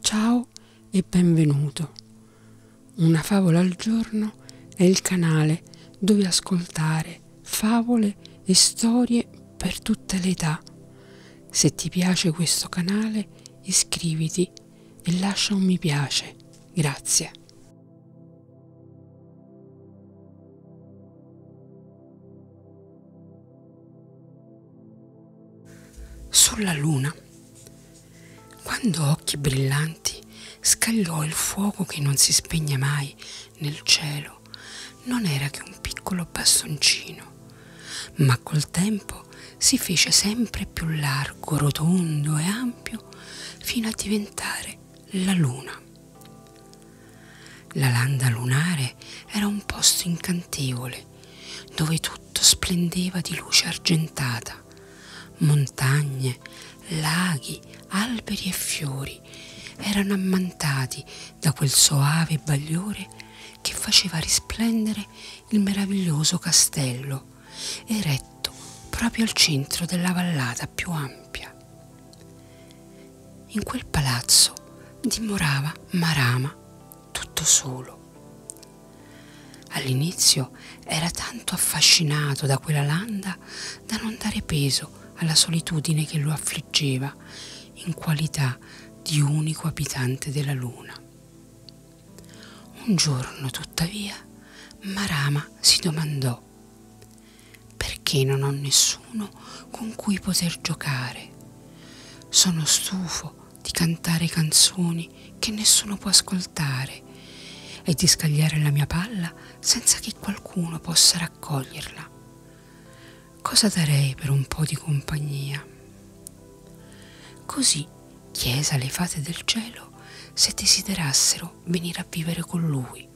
Ciao e benvenuto. Una favola al giorno è il canale dove ascoltare favole e storie per tutte le età. Se ti piace questo canale iscriviti e lascia un mi piace. Grazie. Sulla luna, quando occhi brillanti scagliò il fuoco che non si spegne mai nel cielo, non era che un piccolo bastoncino, ma col tempo si fece sempre più largo, rotondo e ampio fino a diventare la luna. La landa lunare era un posto incantevole dove tutto splendeva di luce argentata, montagne, laghi, alberi e fiori erano ammantati da quel soave bagliore che faceva risplendere il meraviglioso castello, eretto proprio al centro della vallata più ampia. In quel palazzo dimorava Marama tutto solo. All'inizio era tanto affascinato da quella landa da non dare peso alla solitudine che lo affliggeva in qualità di unico abitante della luna. Un giorno, tuttavia, Marama si domandò perché non ho nessuno con cui poter giocare. Sono stufo di cantare canzoni che nessuno può ascoltare e di scagliare la mia palla senza che qualcuno possa raccoglierla. Cosa darei per un po' di compagnia? Così chiese alle fate del cielo se desiderassero venire a vivere con lui.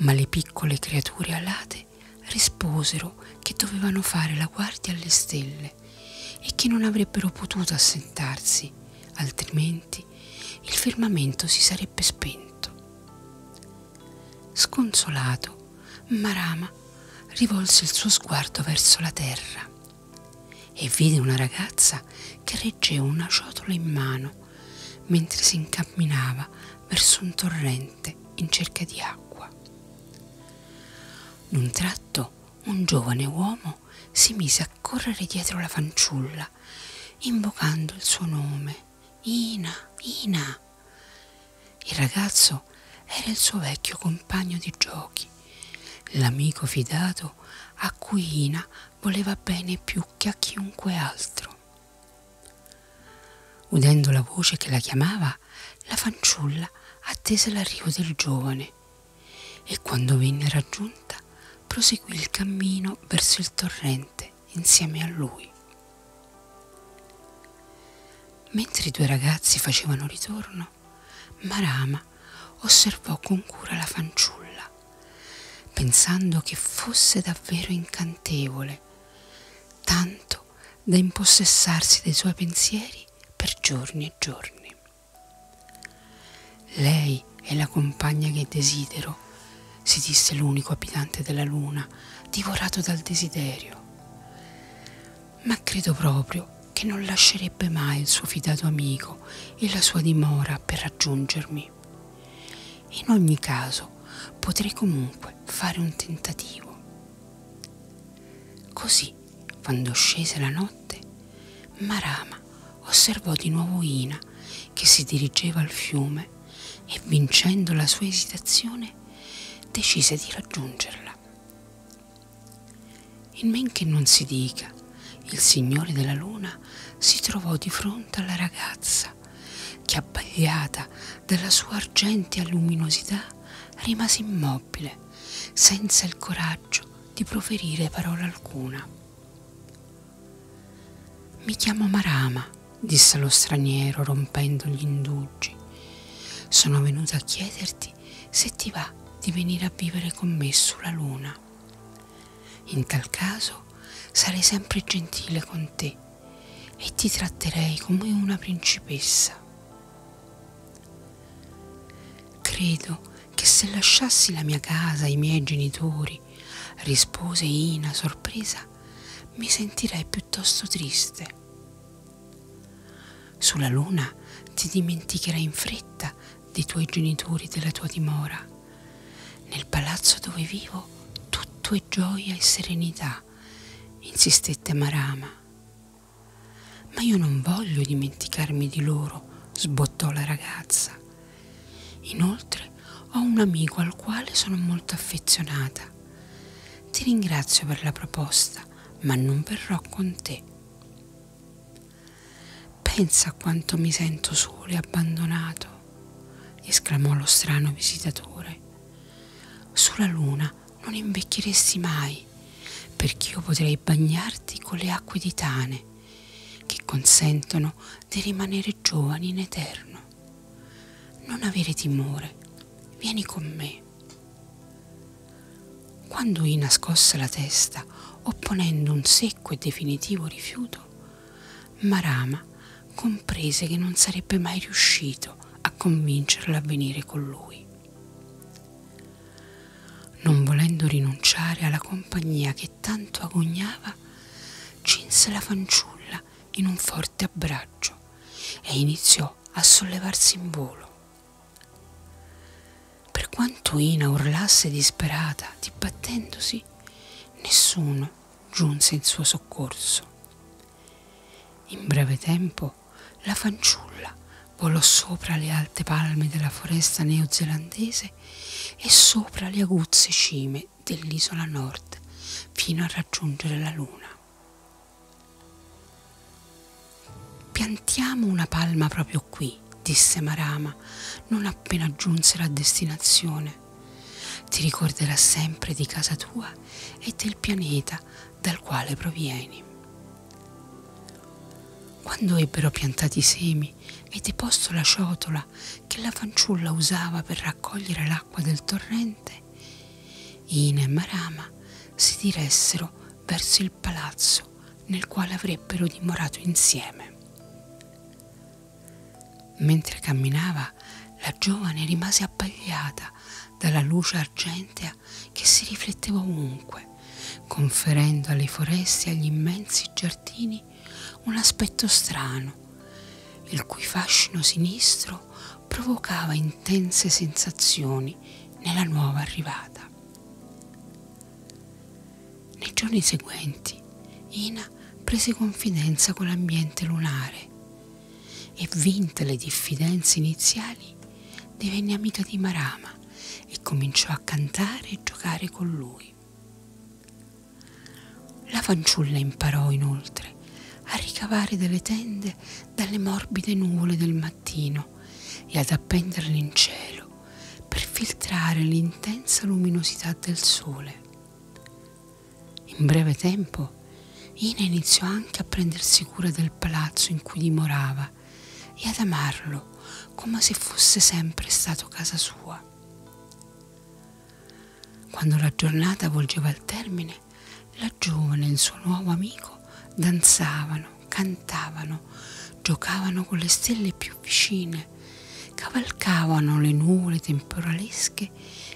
Ma le piccole creature alate risposero che dovevano fare la guardia alle stelle e che non avrebbero potuto assentarsi, altrimenti il firmamento si sarebbe spento. Sconsolato, Marama rivolse il suo sguardo verso la terra e vide una ragazza che reggeva una ciotola in mano mentre si incamminava verso un torrente in cerca di acqua. D'un tratto un giovane uomo si mise a correre dietro la fanciulla, invocando il suo nome. Ina, Ina. Il ragazzo era il suo vecchio compagno di giochi, l'amico fidato Dio a cui Ina voleva bene più che a chiunque altro. Udendo la voce che la chiamava, la fanciulla attese l'arrivo del giovane e quando venne raggiunta proseguì il cammino verso il torrente insieme a lui. Mentre i due ragazzi facevano ritorno, Marama osservò con cura la fanciulla pensando che fosse davvero incantevole, tanto da impossessarsi dei suoi pensieri per giorni e giorni. Lei è la compagna che desidero, si disse l'unico abitante della luna, divorato dal desiderio. Ma credo proprio che non lascerebbe mai il suo fidato amico e la sua dimora per raggiungermi. In ogni caso potrei comunque fare un tentativo. Così, quando scese la notte, Marama osservò di nuovo Ina che si dirigeva al fiume e vincendo la sua esitazione decise di raggiungerla. In men che non si dica, il Signore della Luna si trovò di fronte alla ragazza che, abbagliata dalla sua argentea luminosità, rimase immobile, senza il coraggio di proferire parola alcuna. Mi chiamo Marama, disse lo straniero rompendo gli indugi. Sono venuta a chiederti se ti va di venire a vivere con me sulla luna. In tal caso sarei sempre gentile con te e ti tratterei come una principessa. Credo che se lasciassi la mia casa ai miei genitori, rispose Ina sorpresa, mi sentirei piuttosto triste. Sulla luna ti dimenticherai in fretta dei tuoi genitori, della tua dimora. Nel palazzo dove vivo tutto è gioia e serenità, insistette Marama. Ma io non voglio dimenticarmi di loro, sbottò la ragazza. Inoltre ho un amico al quale sono molto affezionata. Ti ringrazio per la proposta, ma non verrò con te. Pensa quanto mi sento solo e abbandonato, esclamò lo strano visitatore. Sulla luna non invecchieresti mai, perché io potrei bagnarti con le acque di Tane, che consentono di rimanere giovani in eterno. Non avere timore, vieni con me. Quando Ina scosse la testa, opponendo un secco e definitivo rifiuto, Marama comprese che non sarebbe mai riuscito a convincerla a venire con lui. Non volendo rinunciare alla compagnia che tanto agognava, cinse la fanciulla in un forte abbraccio e iniziò a sollevarsi in volo. Per quanto Ina urlasse disperata, dibattendosi, nessuno giunse in suo soccorso. In breve tempo la fanciulla volò sopra le alte palme della foresta neozelandese e sopra le aguzze cime dell'isola nord fino a raggiungere la luna. Piantiamo una palma proprio qui, disse Marama, non appena giunsero a destinazione. Ti ricorderà sempre di casa tua e del pianeta dal quale provieni. Quando ebbero piantati i semi e deposto la ciotola che la fanciulla usava per raccogliere l'acqua del torrente, Ina e Marama si diressero verso il palazzo chiuso nel quale avrebbero dimorato insieme. Mentre camminava, la giovane rimase abbagliata dalla luce argentea che si rifletteva ovunque, conferendo alle foreste e agli immensi giardini un aspetto strano, il cui fascino sinistro provocava intense sensazioni nella nuova arrivata. Nei giorni seguenti Ina prese confidenza con l'ambiente lunare e vinte le diffidenze iniziali divenne amica di Marama e cominciò a cantare e giocare con lui. La fanciulla imparò inoltre a ricavare delle tende dalle morbide nuvole del mattino mattino e ad appenderle in cielo per filtrare l'intensa luminosità del sole. In breve tempo Ina iniziò anche a prendersi cura del palazzo in cui dimorava e ad amarlo come se fosse sempre stato casa sua. Quando la giornata volgeva al termine, la giovane e il suo nuovo amico danzavano, cantavano, giocavano con le stelle più vicine, cavalcavano le nuvole temporalesche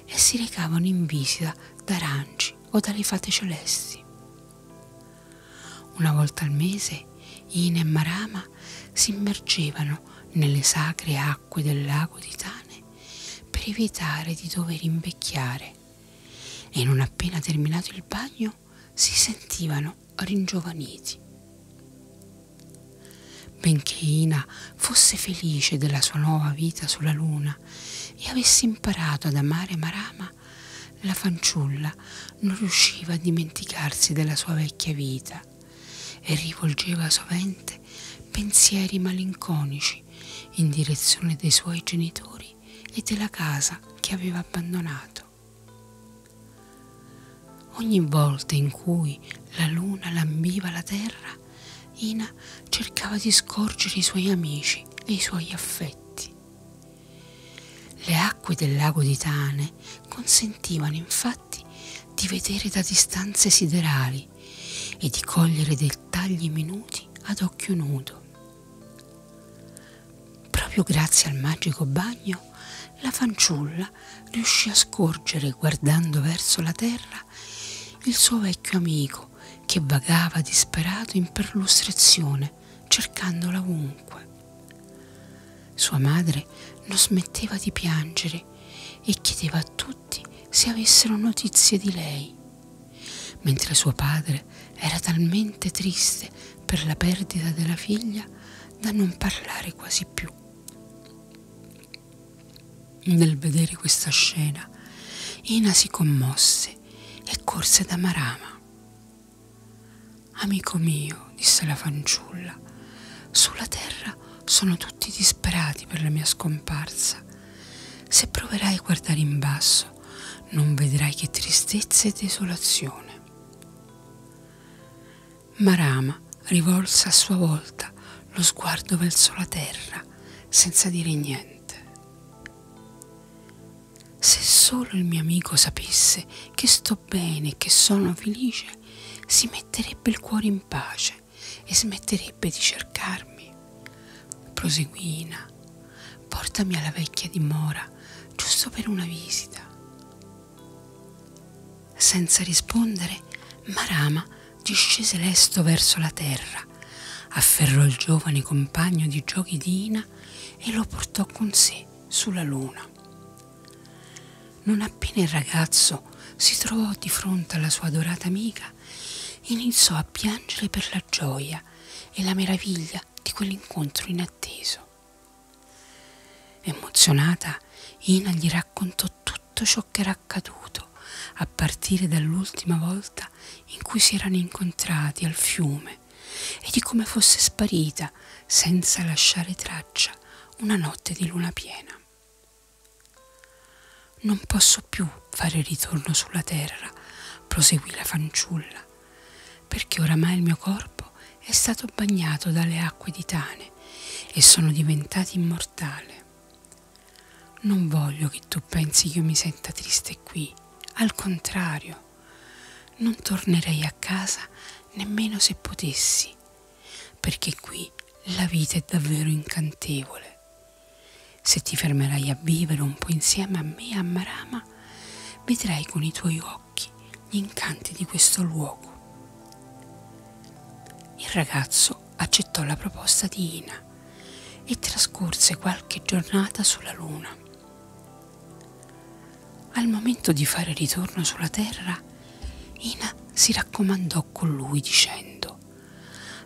e si recavano in visita da aranci o dalle fate celesti. Una volta al mese Ina e Marama si immergevano nelle sacre acque del lago di Tane per evitare di dover invecchiare e non appena terminato il bagno si sentivano ringiovaniti. Benché Ina fosse felice della sua nuova vita sulla luna e avesse imparato ad amare Marama, la fanciulla non riusciva a dimenticarsi della sua vecchia vita e rivolgeva sovente pensieri malinconici in direzione dei suoi genitori occhi e della casa che aveva abbandonato. Ogni volta in cui la luna lambiva la terra, Ina cercava di scorgere i suoi amici e i suoi affetti. Le acque del lago di Tane consentivano infatti di vedere da distanze siderali occhi e di cogliere dettagli minuti ad occhio nudo. Proprio grazie al magico bagno, la fanciulla riuscì a scorgere, guardando verso la terra, il suo vecchio amico che vagava disperato in perlustrazione, cercandola ovunque. Sua madre non smetteva di piangere e chiedeva a tutti tutti se avessero notizie di lei, mentre suo padre era talmente triste per la perdita della figlia da non parlare quasi più. Nel vedere questa scena, Ina si commosse e corse da Marama. Amico mio, disse la fanciulla, sulla terra sono tutti tutti disperati per la mia scomparsa. Se proverai a guardare in basso, non vedrai che tristezza e desolazione. Marama rivolse a sua volta lo sguardo verso la terra, senza dire niente. Se solo il mio amico sapesse che sto bene e che sono felice, si metterebbe il cuore in pace e smetterebbe di cercarmi. Proseguì Ina, portami alla vecchia dimora, giusto per una visita. Senza rispondere, Marama discese lesto verso la terra, afferrò il giovane compagno di giochi di Ina e lo portò con sé sulla luna. Non appena il ragazzo si trovò di fronte alla sua adorata amica, iniziò a piangere per la gioia e la meraviglia di quell'incontro inatteso. Emozionata, Ina gli raccontò tutto ciò che era accaduto a partire dall'ultima volta in cui si erano incontrati al fiume e di come fosse sparita, senza lasciare traccia, una notte di luna piena. Non posso più fare ritorno sulla terra, proseguì la fanciulla, perché oramai il mio corpo è stato bagnato dalle acque di Tane e sono diventata immortale. Non voglio che tu pensi che io mi senta triste qui, al contrario, non tornerei a casa nemmeno se potessi, perché qui la vita è davvero incantevole. Se ti fermerai a vivere un po' insieme a me a Marama, vedrai con i tuoi occhi gli incanti di questo luogo. Il ragazzo accettò la proposta di Ina e trascorse qualche giornata sulla Luna. Al momento di fare ritorno sulla Terra, Ina si raccomandò con lui dicendo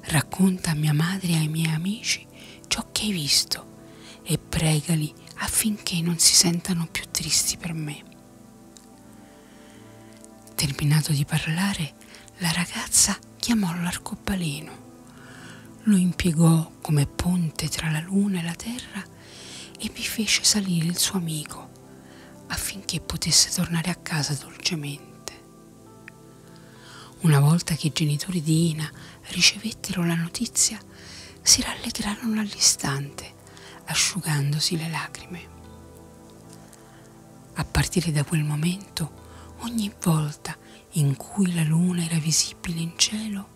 Racconta a mia madre e ai miei amici ciò che hai visto e pregali affinché non si sentano più tristi per me. Terminato di parlare, la ragazza chiamò l'arcobaleno, lo impiegò come ponte tra la luna e la terra e vi fece salire il suo amico affinché potesse tornare a casa dolcemente. Una volta che i genitori di Ina ricevettero la notizia, si rallegrarono all'istante, asciugandosi le lacrime. A partire da quel momento, ogni volta in cui la luna era visibile in cielo,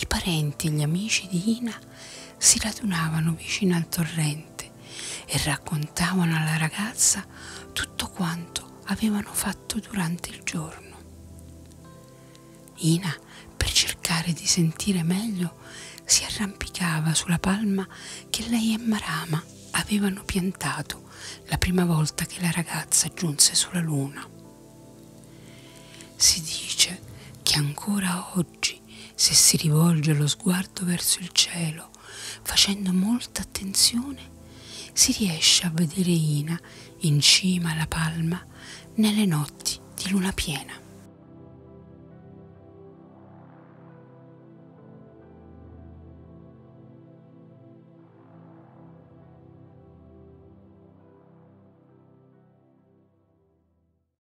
i parenti e gli amici di Ina si radunavano vicino al torrente presente e raccontavano alla ragazza tutto quanto avevano fatto durante il giorno. Ina, per cercare di sentire meglio, si arrampicava sulla palma che lei e Marama avevano piantato la prima volta che la ragazza giunse sulla luna. Si dice che ancora oggi luci se si rivolge lo sguardo verso il cielo, facendo molta attenzione, si riesce a vedere Ina in cima alla palma nelle notti di luna piena.